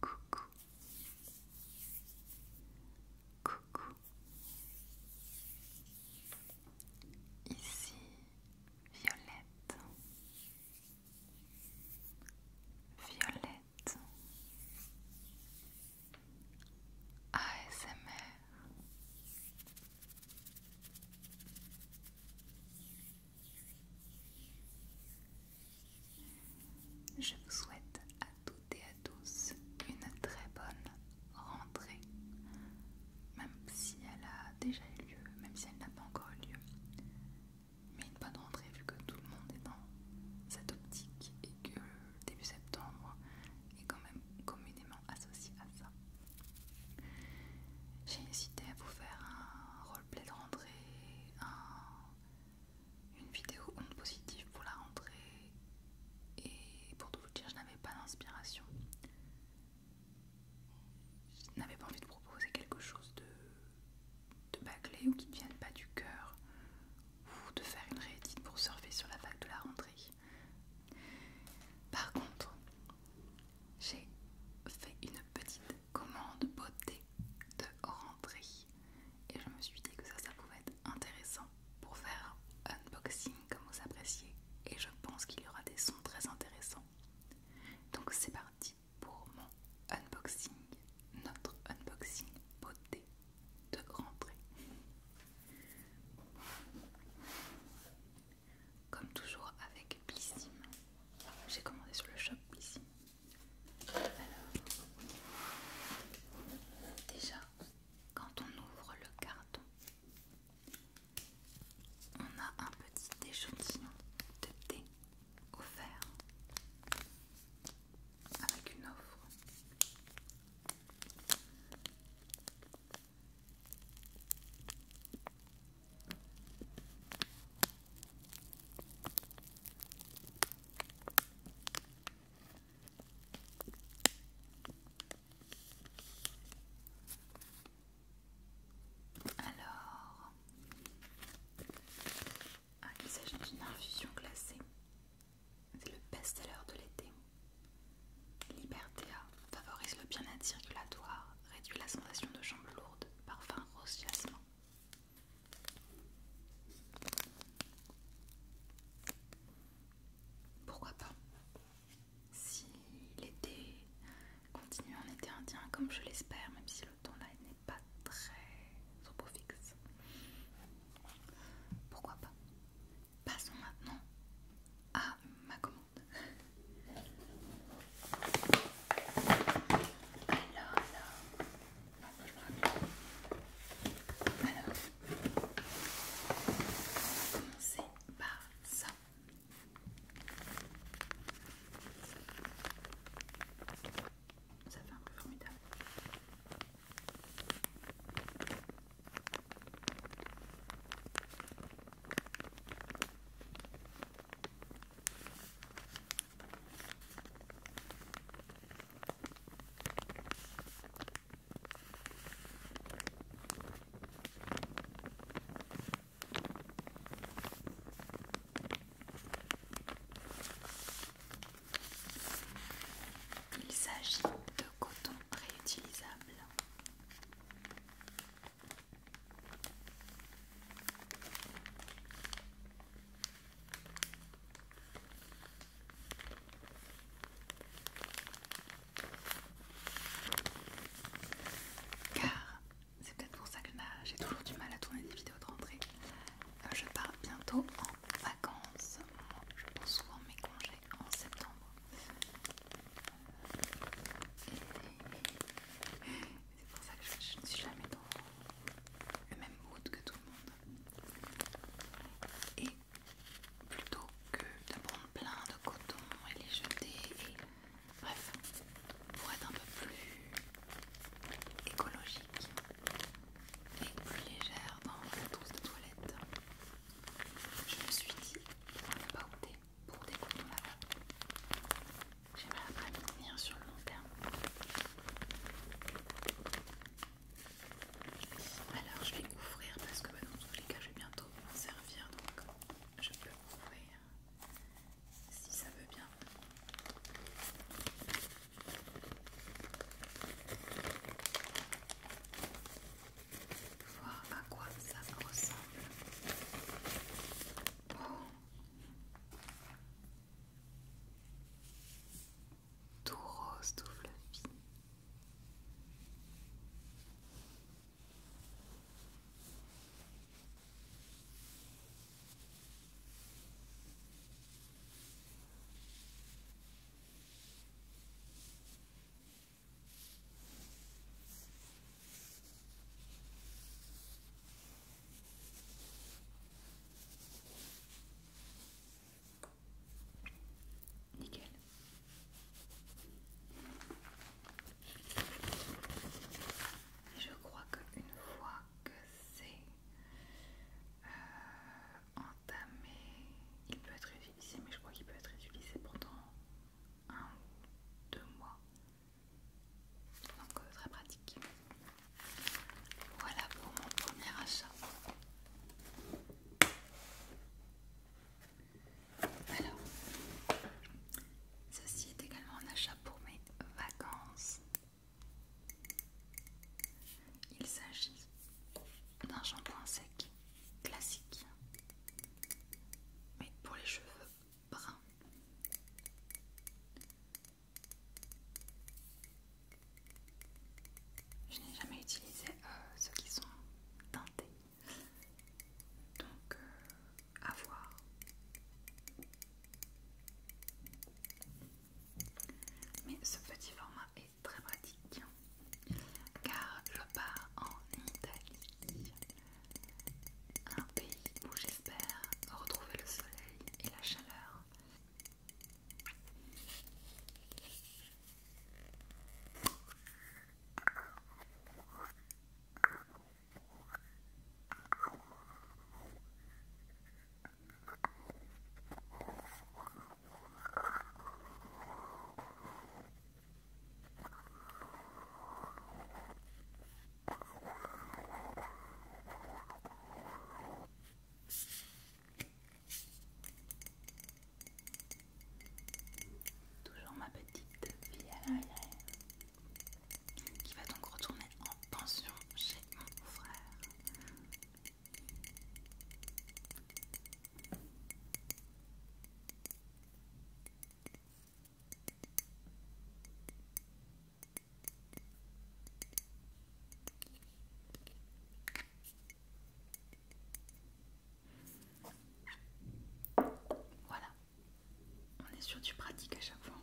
Coucou. Coucou. Ici Violette. Violette. ASMR. Je vous souhaite à toutes et à tous une très bonne rentrée, même si elle a déjà eu lieu, même si elle n'a pas encore eu lieu. Mais une bonne rentrée vu que tout le monde est dans cette optique et que début septembre est quand même communément associé à ça. J'ai hésité à vous faire un roleplay de rentrée, une vidéo onde positive pour la rentrée, et pour tout vous dire, je n'avais pas d'inspiration. Je n'avais pas envie de proposer quelque chose de, de bâclé ou qui ne vienne pas du cœur, ou de faire une réédite pour surfer sur la vague de la rentrée. Par contre, j'ai fait une petite commande beauté de rentrée et je me suis dit que ça, ça pouvait être intéressant pour faire un unboxing comme vous appréciez et je pense qu'il y aura des sons très intéressants. Donc c'est parti pour mon unboxing, notre unboxing beauté de rentrée comme toujours avec Blissim. J'ai commandé sur le shop Blissim. Alors, déjà, quand on ouvre le carton, on a un petit échantillon de thé offert avec une offre. Alors, ah, il s'agit d'une infusion glacée. C'est le best lheure de l'été. Libertea favorise le bien-être circulatoire, réduit la sensation de jambes lourdes, parfum rose Pourquoi pas Si l'été continue en été indien comme je l'espère, même si le temps là n'est pas très trop fixe. Pourquoi pas passons maintenant à ma commande. Alors, alors, on va commencer par ça. Ça fait un peu formidable. Il s'agit de coton réutilisable. Car c'est peut-être pour ça que j'ai toujours du mal à tourner des vidéos de rentrée. Euh, je pars bientôt en vacances. Je pense souvent mes congés en septembre. C'est pour ça que je, ne suis jamais dans le même mood que tout le monde. Et plutôt que de prendre plein de coton et les jeter, et bref, pour être un peu plus écologique et plus légère dans la trousse de toilette, je me suis dit on n'a pas opté pour découper ma main. j'ai pas après venir sur le long terme. Alors je vais ouvrir parce que bah, dans tous les cas je vais bientôt m'en servir donc je peux ouvrir si ça veut bien voir à quoi ça ressemble. Oh. Tout rose, tout fluffy. Nickel. je crois qu'une fois que c'est euh, mais il peut être utilisé, mais je crois qu'il peut être utilisé pendant un ou deux mois. Donc euh, très pratique. Voilà pour mon premier achat. Alors, ceci est également un achat pour mes vacances. Il s'agit d'un shampoing sec classique mais pour les cheveux bruns. Je n'ai jamais utilisé euh, ceux qui sont teintés. Donc, euh, à voir. Mais ce petit format est très pratique car je pars en Italie, un pays où j'espère retrouver le soleil et la chaleur. Toujours ma petite fille à l'arrière qui va donc retourner en pension chez mon frère. Voilà, on est sur du pratique à chaque fois.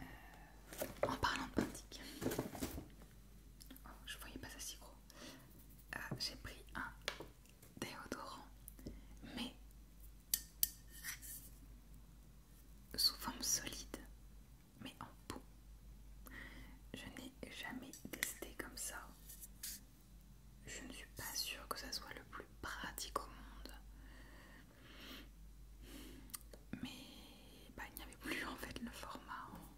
Euh, en parlant de pratique, oh, je voyais pas ça si gros. Euh, j'ai pris un déodorant, mais sous forme solide, mais en peau. Je n'ai jamais testé comme ça. Je ne suis pas sûre que ça soit le plus pratique au monde. Mais bah, il n'y avait plus en fait le format hein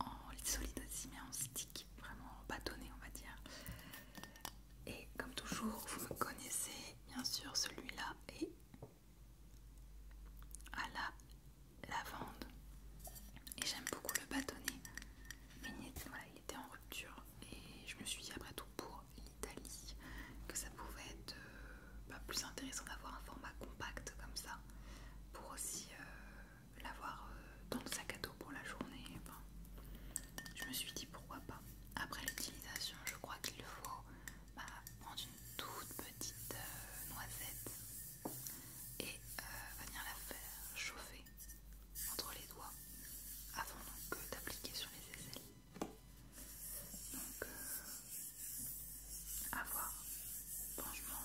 en, lit solide aussi, mais en stick, vraiment en bâtonnet on va dire. Et comme toujours, vous me connaissez, bien sûr, celui-là est à la lavande. Et j'aime beaucoup le bâtonnet, mais il était, il était en rupture. Et je me suis dit, après tout, pour l'Italie, que ça pouvait être euh, bah, plus intéressant d'avoir un format compact comme ça, pour aussi euh, l'avoir euh, dans le sac à dos pour la journée. je me suis dit pourquoi pas. Après l'utilisation, je crois qu'il faut bah, prendre une toute petite euh, noisette et euh, venir la faire chauffer entre les doigts avant donc d'appliquer sur les aisselles. Donc, avoir à voir. Franchement,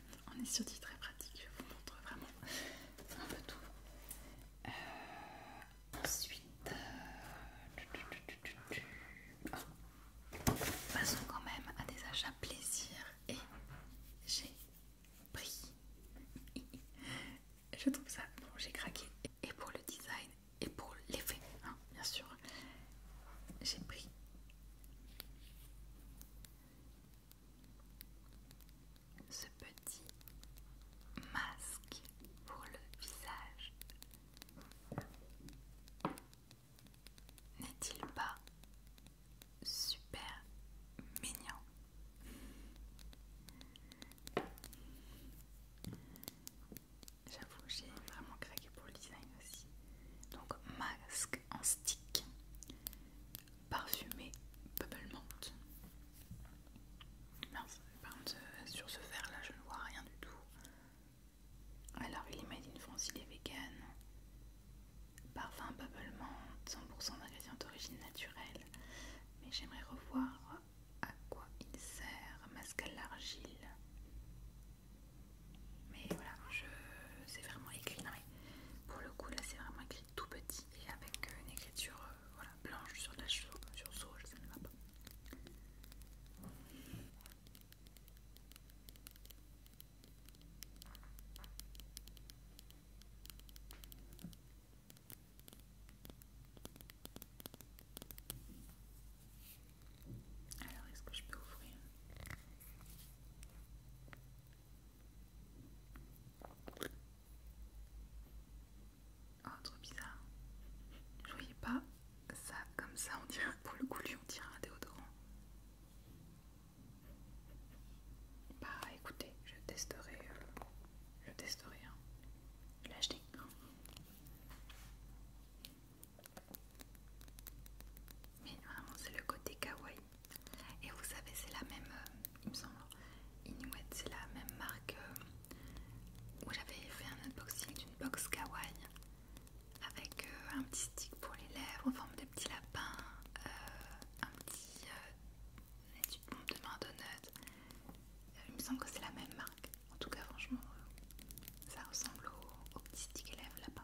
on est sur des très pratique, je vous montre vraiment un peu tout. Euh, ensuite, euh, ah. passons quand même à des achats plaisir et j'ai pris. je trouve ça, bon, j'ai craqué et pour le design et pour l'effet, hein, bien sûr. J'ai pris ce petit masque pour le visage. N'est-il pas super mignon J'avoue, j'ai vraiment craqué pour le design aussi. Donc masque en stick parfumé Bubble euh, sur ce verre là, je ne vois rien du tout. Alors, il est made in France, il est vegan. Parfum Bubble 100% d'ingrédients d'origine naturelle. Mais j'aimerais revoir à quoi il sert. Masque à l'argile. Mais voilà, je... c'est vraiment écrit. pour le coup, là, c'est vraiment écrit tout petit et avec euh, une écriture euh, blanche sur la la sur, sur saut, ça ne va pas. Alors, est-ce que je peux ouvrir Oh, trop bizarre. Je voyais pas ça comme ça. On dirait pour le on dirait un déodorant. Bah écoutez, je testerai. Euh, je testerai. Je hein. l'ai acheté. Mais vraiment, c'est le côté kawaii et vous savez, c'est la même, euh, il me semble, Inuit, c'est la même marque euh, où j'avais fait un unboxing d'une box kawaii avec euh, un petit stick pour les lèvres en forme de petit lapin, un petit euh, pompe de main donut. il me semble que c'est la même marque. En tout cas, franchement, ça ressemble au, petit stick lèvres bas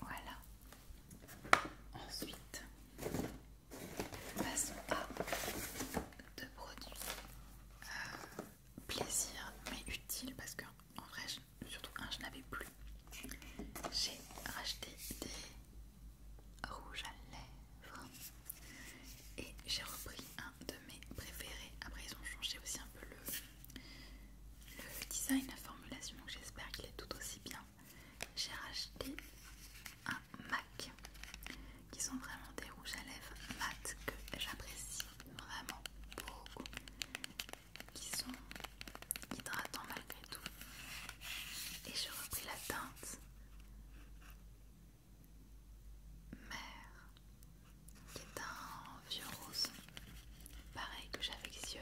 Voilà. Ensuite, passons à deux produits plaisirs euh, plaisir mais utile parce que en vrai, surtout un, je n'avais plus. J'ai racheté des rouges à lèvres et j'ai repris un de mes préférés. Après, ils ont changé aussi un peu le le design, la formulation, j'espère qu'il est tout aussi bien. J'ai racheté un MAC qui sont vraiment des rouges à lèvres mat que j'apprécie vraiment beaucoup, qui sont hydratants malgré tout. Et j'ai repris la teinte. Mère c'est un vieux rose, pareil que j'affectionne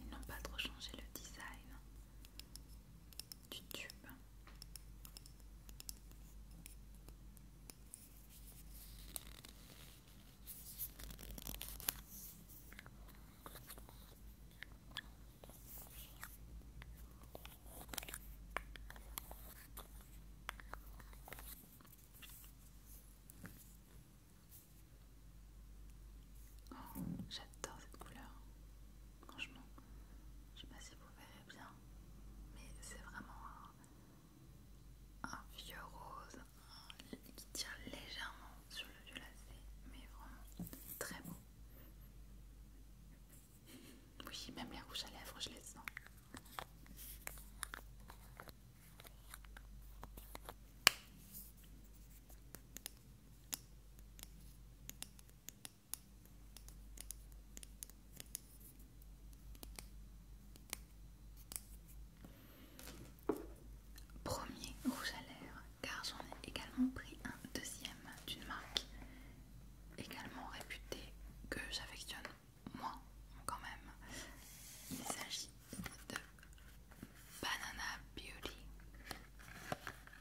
ils n'ont pas trop changé le design du tube. Oh, j'adore cette couleur. Franchement, je sais pas si vous verrez bien, mais c'est vraiment un, vieux rose qui tire légèrement sur le violacé, mais vraiment très beau. Oui, même les rouges à lèvres, je les sens. Premier rouge à l'air, car j'en ai également pris un deuxième d'une marque également réputée que j'affectionne moi quand même. Il s'agit de Banana Beauty.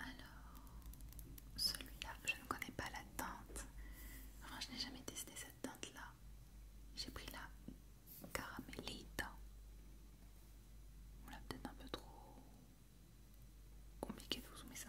Alors, celui-là, je ne connais pas la teinte. Enfin, je n'ai jamais testé cette teinte-là. J'ai pris la caramélite. On l'a peut-être un peu trop compliqué de vous soumettre ça.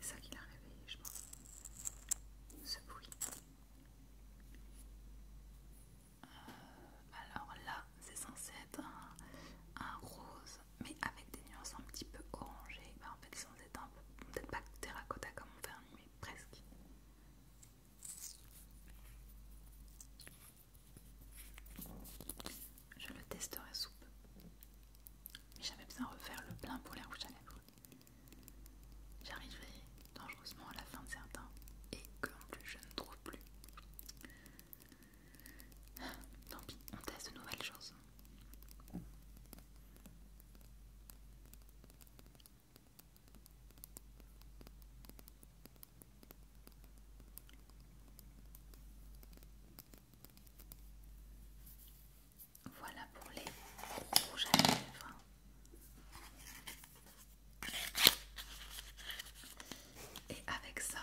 C'est ça qui l'a réveillé, je pense. Ce bruit. Euh, alors là, c'est censé être un, rose, mais avec des nuances un petit peu orangées. Bah, en fait, un peu... peut-être pas terracotta comme on fait un mais presque. Je le testerai soupe, Mais j'avais besoin de refaire le plein pour les rouges à lèvres. J'arriverai dangereusement à la fin de certains et que en plus je ne trouve plus. Tant pis, on teste de nouvelles choses. Voilà pour les rouges à lèvres. Et avec ça,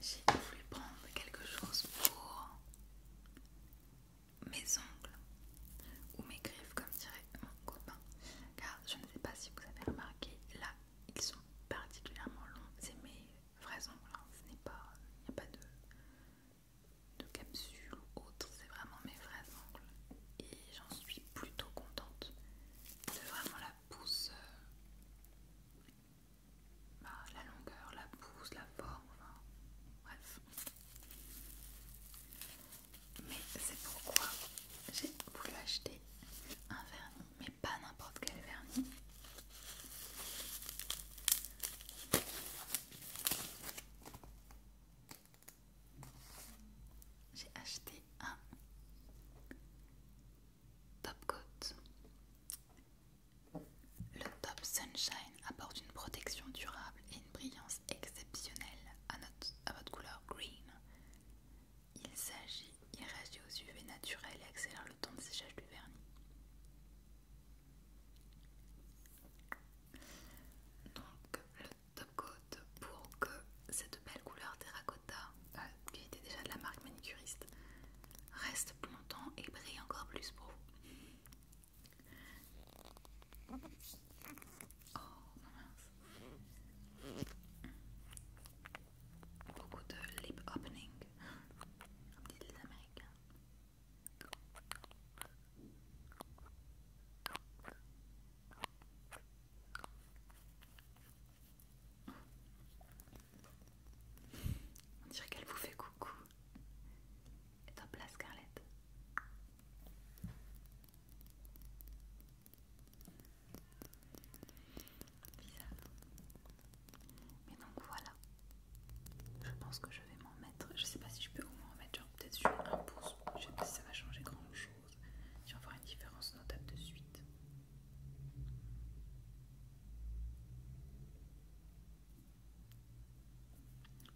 j'ai voulu prendre quelque chose pour mes ongles ou mes griffes, comme dirait mon copain, je ne sais pas si vous avez remarqué, là ils sont particulièrement longs. C'est mes vrais ongles, hein. ce n'est pas, il n'y a pas de, capsule ou autre, c'est vraiment mes vrais ongles. Et j'en suis plutôt contente de vraiment la pousse, euh, bah, la longueur, la pousse, la forme, bref mais c'est pourquoi j'ai voulu acheter un vernis, mais pas n'importe quel vernis. J'ai acheté un top coat. Le top sunshine apporte une protection durable et une brillance exceptionnelle à, votre couleur green. Il s'agit, il aux UV naturel et accélère le temps de séchage du vernis. Donc le top coat pour que cette belle couleur terracotta, euh, qui était déjà de la marque manicuriste, reste plus longtemps et brille encore plus pour vous. Beaucoup oh, de lip opening. américains. On dirait qu'elle vous fait coucou. Et top la Scarlett. Mais donc voilà. Je pense que je vais m'en mettre. Je sais pas si je peux au moins mettre genre peut-être sur un pouce. Je sais pas si ça va changer grand chose. Je vais voir une différence notable de suite.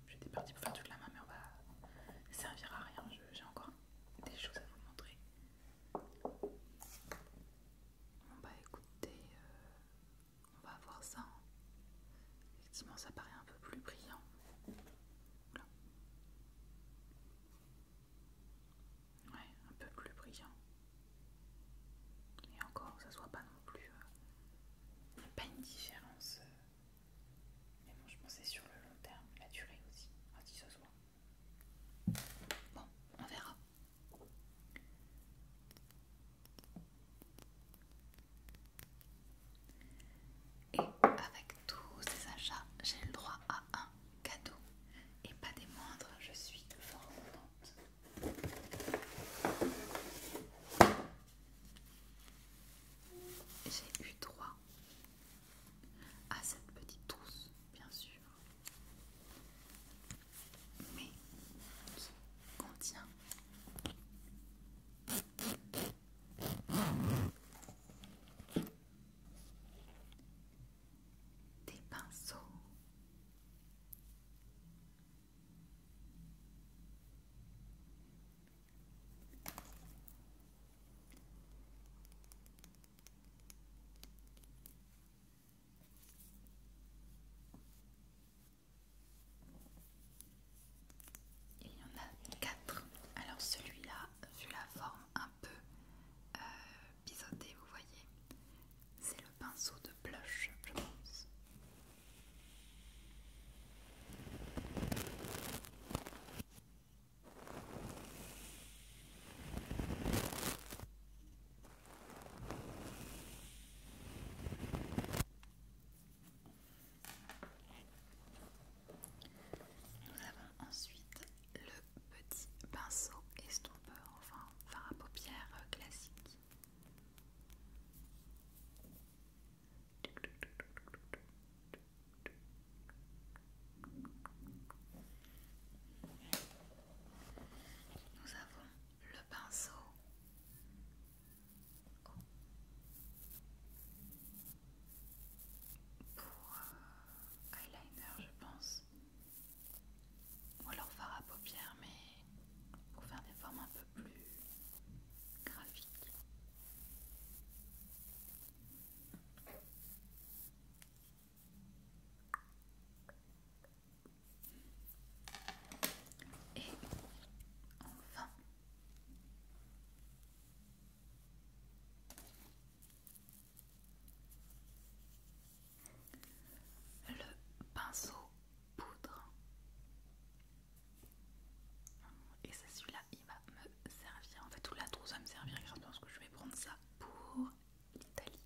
J'étais partie pour faire toute la main mais on va servir à rien. J'ai encore des choses à vous montrer. on va bah, écouter euh, on va voir ça. Hein. Effectivement, ça paraît un peu plus brillant. Ouais, un peu plus brillant. Et encore, ça soit pas non plus. Euh, il n'y a pas une différence. Euh. mais bon, je pensais sur le long terme, la durée aussi. si soit Bon, on verra. Et avec tous ces achats, j'ai le droit à un cadeau. Et pas des moindres, je suis fort contente. J'ai eu droit à cette petite trousse, bien sûr, mais qui contient des pinceaux. Il y en a quatre. Alors celui-là, vu la forme un peu euh, biseautée, vous voyez, c'est le pinceau de blush, je pense. Nous avons ensuite le petit pinceau estompeur, enfin fard à paupières euh, classique. Nous avons le pinceau. Pour euh, eyeliner, je pense, ou alors fard à paupières, mais pour faire des formes un peu plus graphiques. Et enfin, le pinceau poudre. Et c'est celui-là va me servir. En fait, tout la trousse va me servir à parce que je vais prendre ça pour l'Italie.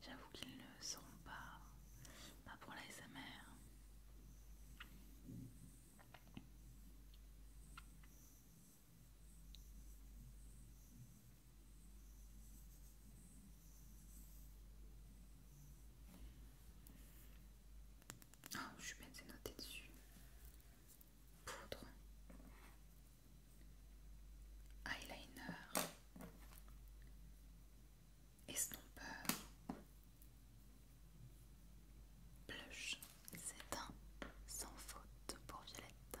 J'avoue qu'ils ne sont pas, pas pour la SMR. Oh, je mets bête, dessus. Poudre. Eyeliner. Estompeur. Blush. C'est un sans faute pour Violette.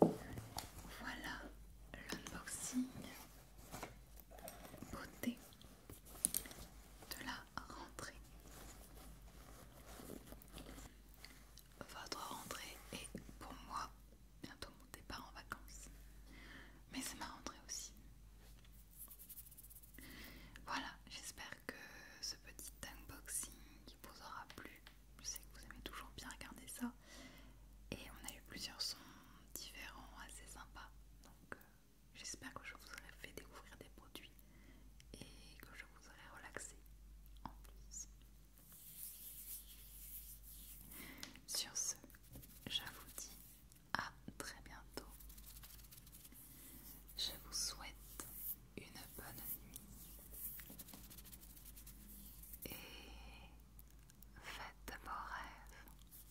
Voilà l'unboxing beauté de la rentrée. Votre rentrée est pour moi bientôt mon départ en vacances, mais c'est ma rentrée aussi. Voilà, j'espère que ce petit unboxing qui vous aura plu. Je sais que vous aimez toujours bien regarder ça. Et on a eu plusieurs sons différents, assez sympas. Donc euh, j'espère que je vous aurai fait découvrir des produits et que je vous aurai relaxé en plus. Sur ce, je vous dis à très bientôt. Je vous souhaite une bonne nuit et faites de beaux rêves.